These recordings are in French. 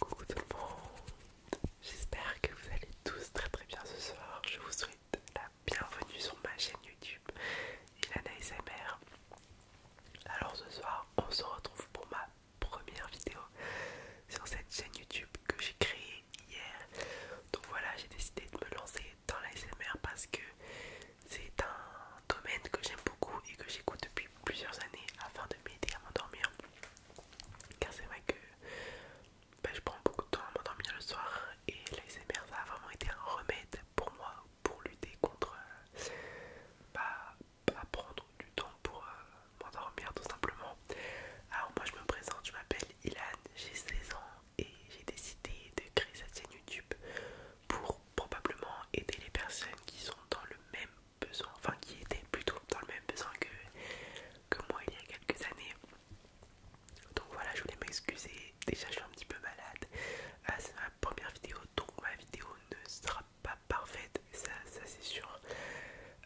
Coucou tout le monde, j'espère que vous allez tous très très bien ce soir. Je vous souhaite la bienvenue sur ma chaîne YouTube Ilana ASMR Alors ce soir, on se retrouve pour ma première vidéo sur cette chaîne YouTube que j'ai créée hier. Donc voilà, j'ai décidé de me lancer dans l'ASMR parce que c'est un domaine que j'aime beaucoup et que j'écoute depuis plusieurs années afin de m'aider à m'endormir. Car c'est vrai que ben, je prends beaucoup de temps à m'endormir le soir et l'ASMR ça a vraiment été un remède pour moi pour lutter contre euh, bah, pas prendre du temps pour euh, m'endormir tout simplement. Alors moi je me présente, je m'appelle Ilan, j'ai 16 ans et j'ai décidé de créer cette chaîne YouTube pour probablement aider les personnes qui sont dans le même besoin, enfin qui étaient plutôt dans le même besoin que, que moi il y a quelques années. Donc voilà, je voulais m'excuser. Déjà, je suis un petit peu malade. Ah, c'est ma première vidéo, donc ma vidéo ne sera pas parfaite, ça, ça c'est sûr.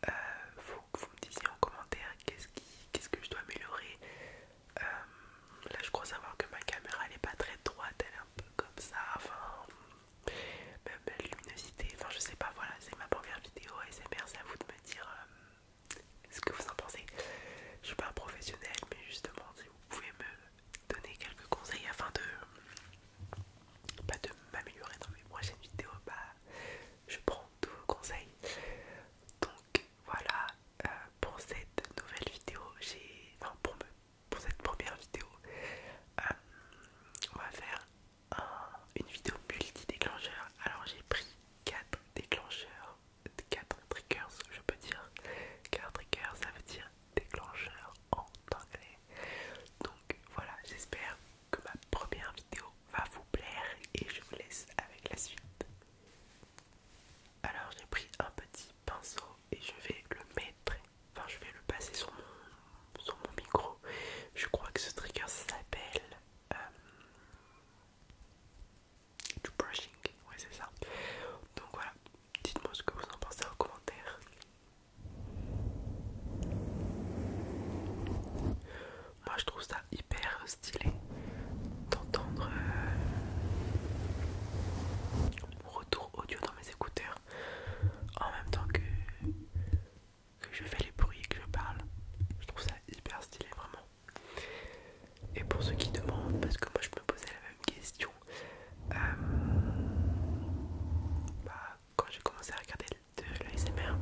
Euh, faut que vous me disiez en commentaire qu'est-ce que je dois améliorer. Euh, là je crois savoir que ma caméra elle est pas très droite, elle est un peu comme ça, enfin même la luminosité, enfin je sais pas, voilà, c'est ma première vidéo et c'est à vous de me dire euh, ce que vous en pensez. Je suis pas un professionnel mais justement si vous pouvez me donner quelques conseils afin de pas de m'améliorer dans mes prochaines vidéos, bah je prends tous vos conseils. Donc voilà euh, pour cette nouvelle vidéo, j'ai enfin pour me pour cette première vidéo, euh, on va faire une vidéo multi-déclencheur. Alors j'ai pris 4 déclencheurs, 4 triggers, je peux dire. 4 triggers ça veut dire déclencheur en anglais. Donc voilà, j'espère que ma première vidéo va vous plaire et je vous laisse avec la suite. Alors j'ai pris un petit pinceau et je vais le mettre, enfin je vais le passer sur mon, sur mon micro. Je crois que ce trigger s'appelle du euh, brushing, ouais c'est ça. Donc voilà, dites-moi ce que vous en pensez en commentaire. Moi je trouve ça hyper stylé d'entendre euh, retour audio dans mes écouteurs en même temps que, je fais les bruits et que je parle. Je trouve ça hyper stylé vraiment. Et pour ceux qui demandent, parce que moi je me posais la même question, euh, bah, quand j'ai commencé à regarder de l'ASMR,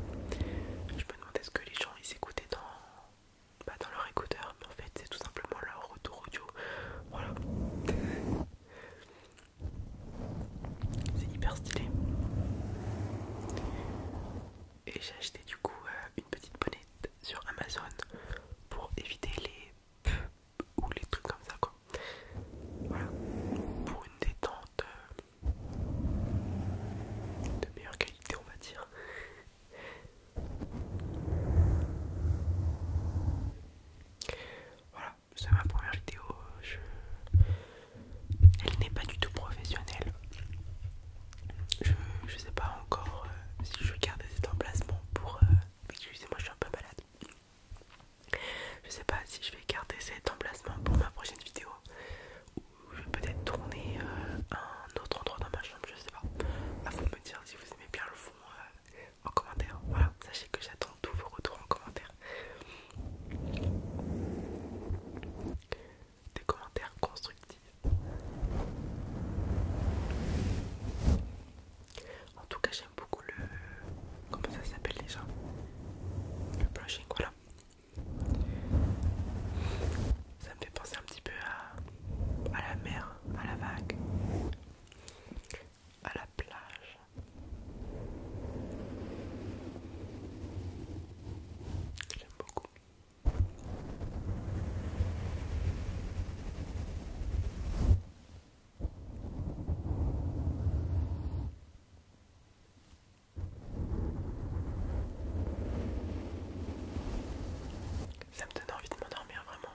je me demandais ce que les gens ils écoutaient dans, bah, dans leur écouteur, en fait c'est tout simplement leur retour audio. Voilà. C'est hyper stylé. Et j'ai acheté du coup euh, une petite bonnette sur Amazon pour éviter les ou les trucs comme ça quoi. Voilà. Pour une détente euh, de meilleure qualité on va dire. Voilà, c'est ma première vidéo. Elle n'est pas du tout professionnelle. Je, ne sais pas encore euh, si je vais garder cet emplacement pour. Excusez-moi, euh, je suis un peu malade. Je sais pas si je vais garder cet emplacement pour ma prochaine vidéo ou je vais peut-être tourner euh, un autre endroit dans ma chambre, je sais pas. À vous me dire si vous aimez bien le fond en commentaire. Voilà, sachez que j'attends tous vos retours en commentaire. Des commentaires constructifs. En tout cas, j'aime beaucoup le. Comment ça s'appelle déjà Le blushing, voilà. Ça me fait penser un petit peu à, à la mer, à la vague à la plage. J'aime beaucoup. Ça me donne envie de m'endormir vraiment.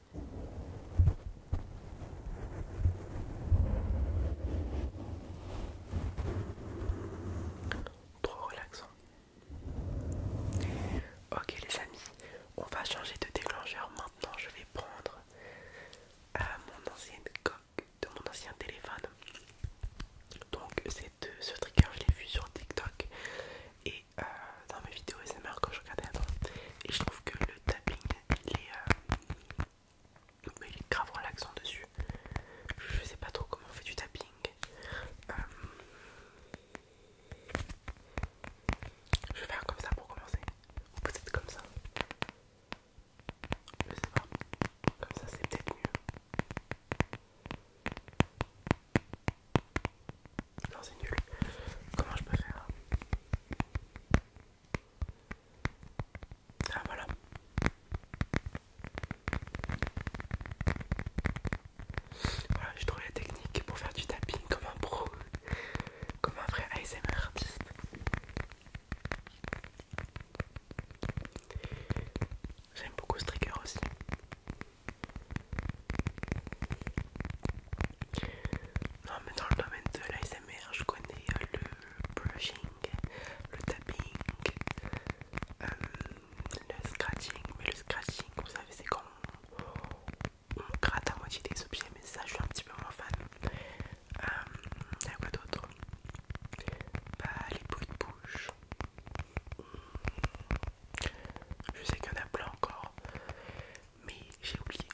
Trop relaxant. Ok les amis, on va changer de déclencheur maintenant. Je vais prendre euh, mon ancienne coque de mon ancien téléphone. Donc c'est de ce trigger je l'ai vu sur TikTok et euh, dans mes vidéos SMR quand je regardais avant et je trouve que le tapping euh, il est, grave relaxant dessus je sais pas trop comment on fait du tapping euh, je vais faire comme ça pour commencer ou peut-être comme ça je sais pas comme ça c'est peut-être mieux non, c'est nul. Comment je peux faire Ah, voilà. Voilà, j'ai trouvé la technique pour faire du tapping comme un pro, comme un vrai ASMR artiste. J'aime beaucoup ce trigger aussi. Non mais dans le domaine de l'ASMR je connais euh, le brushing, le tapping, euh, le scratching, mais le scratching vous savez c'est quand on, gratte à moitié des objets mais ça je suis un petit peu moins fan. Euh, il y a quoi d'autre Bah les bruits de bouche. Je sais qu'il y en a plein encore mais j'ai oublié.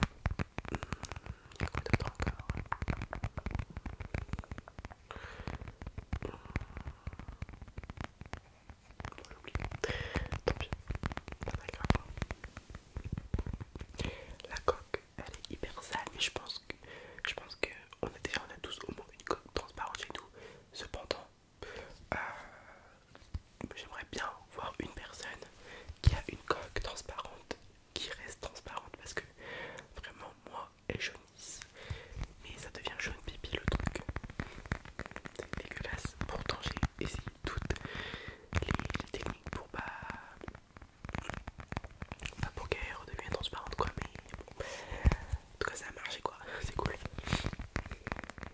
Tant pis, La coque, elle est hyper sale, mais je pense que je pense que on a déjà on a tous au moins une coque transparente chez nous. Cependant, euh, j'aimerais bien voir une personne qui a une coque transparente qui reste transparente parce que vraiment moi elle jaunisse mais ça devient jaune pipi le truc c'est dégueulasse pourtant j'ai essayé toutes les, techniques pour pas, pas pour qu'elle redevienne transparente quoi mais bon en tout cas ça a marché quoi c'est cool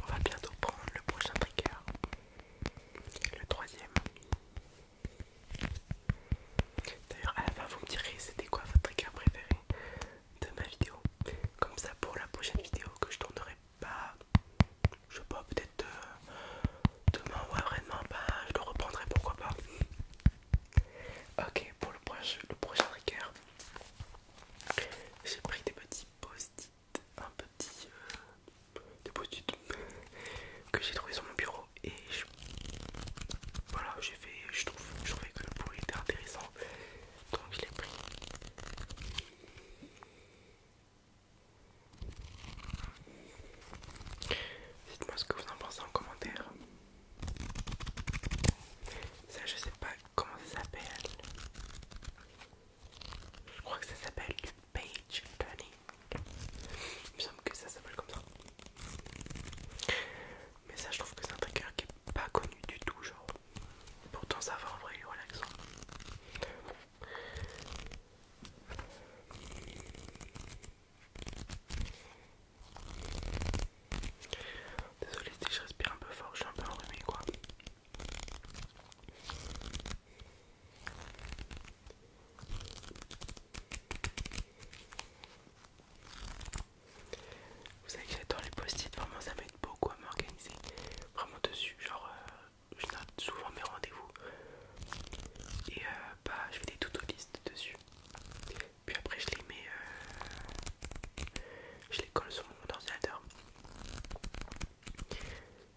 On va bientôt prendre le prochain trigger, le troisième. D'ailleurs, à la fin, vous me direz c'était quoi votre trigger préféré de ma vidéo. Comme ça, pour la prochaine vidéo que je tournerai bah je sais pas peut-être euh, demain ouais vraiment bah je le reprendrai pourquoi pas ok pour le prochain le j'ai pris des petits post-it un petit euh, des post-it que j'ai trouvé sur mon bureau et voilà j'ai fait je trouve je trouvais que le bruit était intéressant donc je l'ai pris Dites-moi ce que vous en pensez en commentaire. Ça, je sais pas comment ça s'appelle. Je crois que ça s'appelle du page turning. Il me semble que ça s'appelle comme ça. Mais ça, je trouve que c'est un trigger qui est pas connu du tout, genre. Pourtant, ça va en vrai, il Désolé si je respire un peu fort, je suis un peu enrhumé quoi. Vous savez que j'adore les post-it, vraiment ça m'aide beaucoup à m'organiser. Vraiment dessus, genre euh, je note souvent mes rendez-vous et euh, bah, je fais des to-do list dessus. Puis après, je les mets, euh, je les colle sur mon ordinateur.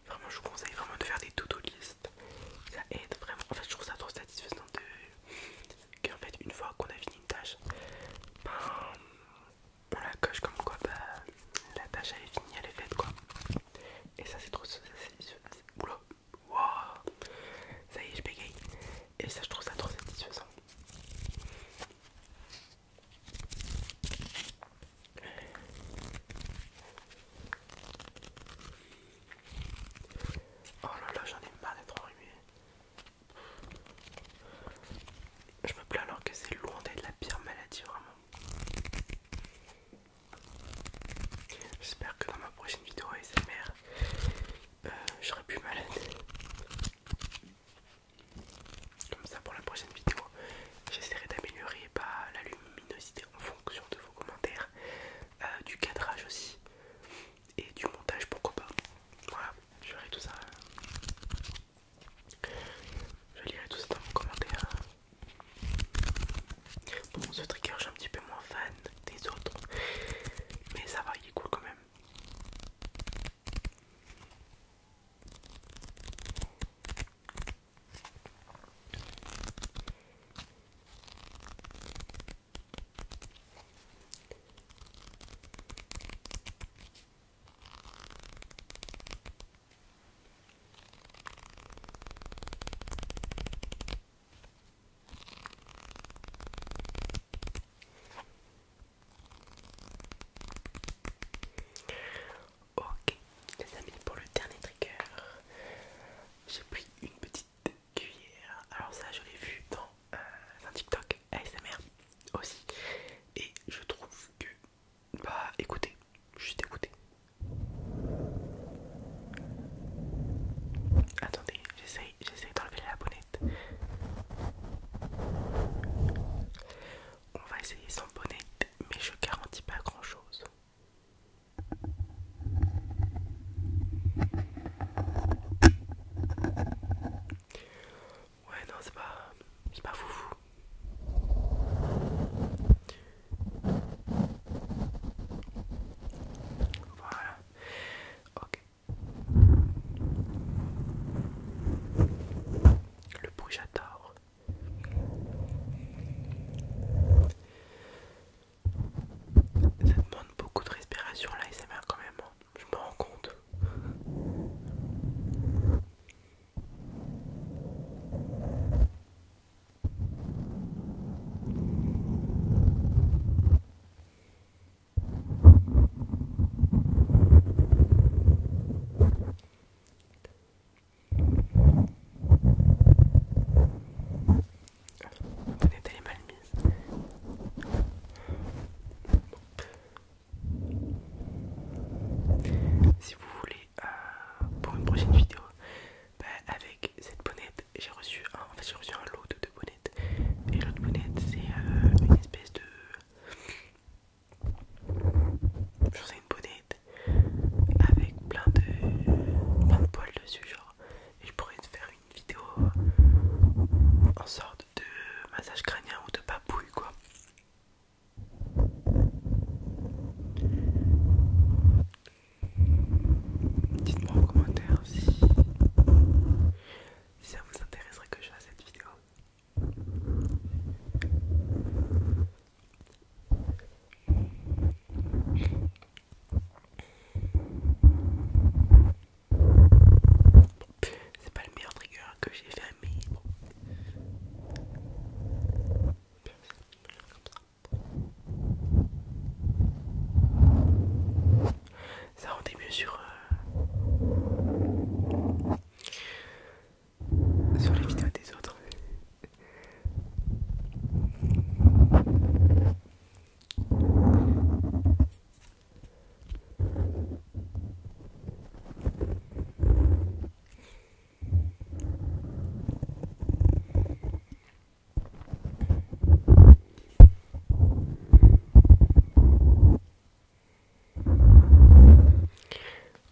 Vraiment, je vous conseille vraiment de faire des to-do list. Ça aide vraiment. En fait, je trouve ça trop satisfaisant de qu'en fait, une fois qu'on a fini une tâche, ben, on la coche comme quoi bah, la tâche elle est finie, elle est faite quoi. Et ça c'est trop... satisfaisant, Oula wow. Ça y est, je bégaye. Et ça, je trouve ça trop satisfaisant. Oh là là, j'en ai marre d'être enrhumé. Je me plains alors que c'est loin d'être la pire maladie, vraiment. J'espère que dans ma prochaine vidéo ASMR, euh, serai plus malade. Comme ça, pour la prochaine vidéo, j'essaierai d'améliorer bah, la luminosité en fonction de vos commentaires, euh, du cadrage aussi et du montage, pourquoi pas. Voilà, je tout ça. Je lirai tout ça dans vos commentaires. Bon, ce trigger, je un petit peu moins fan des autres, mais ça va, il est cool quand même. Ok, les amis, pour le dernier trigger, j'ai pris une petite cuillère. Alors, ça, je l'ai vu dans euh, un TikTok ASMR aussi, et je trouve que bah écoutez, juste écoutez. Attendez, j'essaye, j'essaye d'enlever la bonnette. On va essayer sans bonnette, mais je garantis pas grand chose. Ouais non c'est pas c'est pas foufou voilà. Ok. Le bruit j'adore. Ça demande beaucoup de respiration là et quand même. Je me rends compte. Peut-être elle est mal mise. Si vous voulez euh, pour une prochaine vidéo. Bah, avec cette bonnette, j'ai reçu, un, en fait, reçu un lot de bonnettes. Et l'autre bonnette, c'est euh, une espèce de. Je une bonnette avec plein de, plein de poils dessus, genre. Et je pourrais te faire une vidéo en sorte de massage crânien ou de papouille, quoi. Dites-moi en commentaire si... ça vous intéresserait que je fasse cette vidéo. C'est pas le meilleur trigger que j'ai fait, mais bon. Ça rendait mieux sur, euh, sur les vidéos des autres.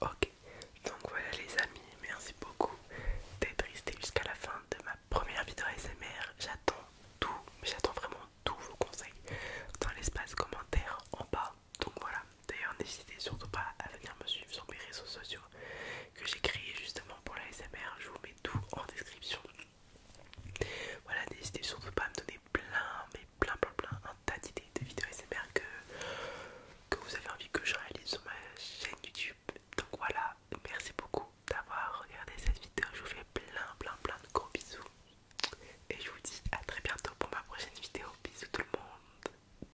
Ok, donc voilà les amis, merci beaucoup d'être restés jusqu'à la fin de ma première vidéo ASMR. J'attends tout, j'attends vraiment tous vos conseils dans l'espace commentaire en bas. Donc voilà, D'ailleurs, n'hésitez surtout pas à venir me suivre sur mes réseaux sociaux que j'ai créés justement pour la SMR. Je vous mets tout en description. Voilà, n'hésitez surtout pas à me donner plein, mais plein, plein, plein, un tas d'idées de vidéos SMR que, que vous avez envie que je réalise sur ma chaîne YouTube. Donc voilà, merci beaucoup d'avoir regardé cette vidéo. Je vous fais plein, plein, plein de gros bisous. Et je vous dis à très bientôt pour ma prochaine vidéo. Bisous tout le monde.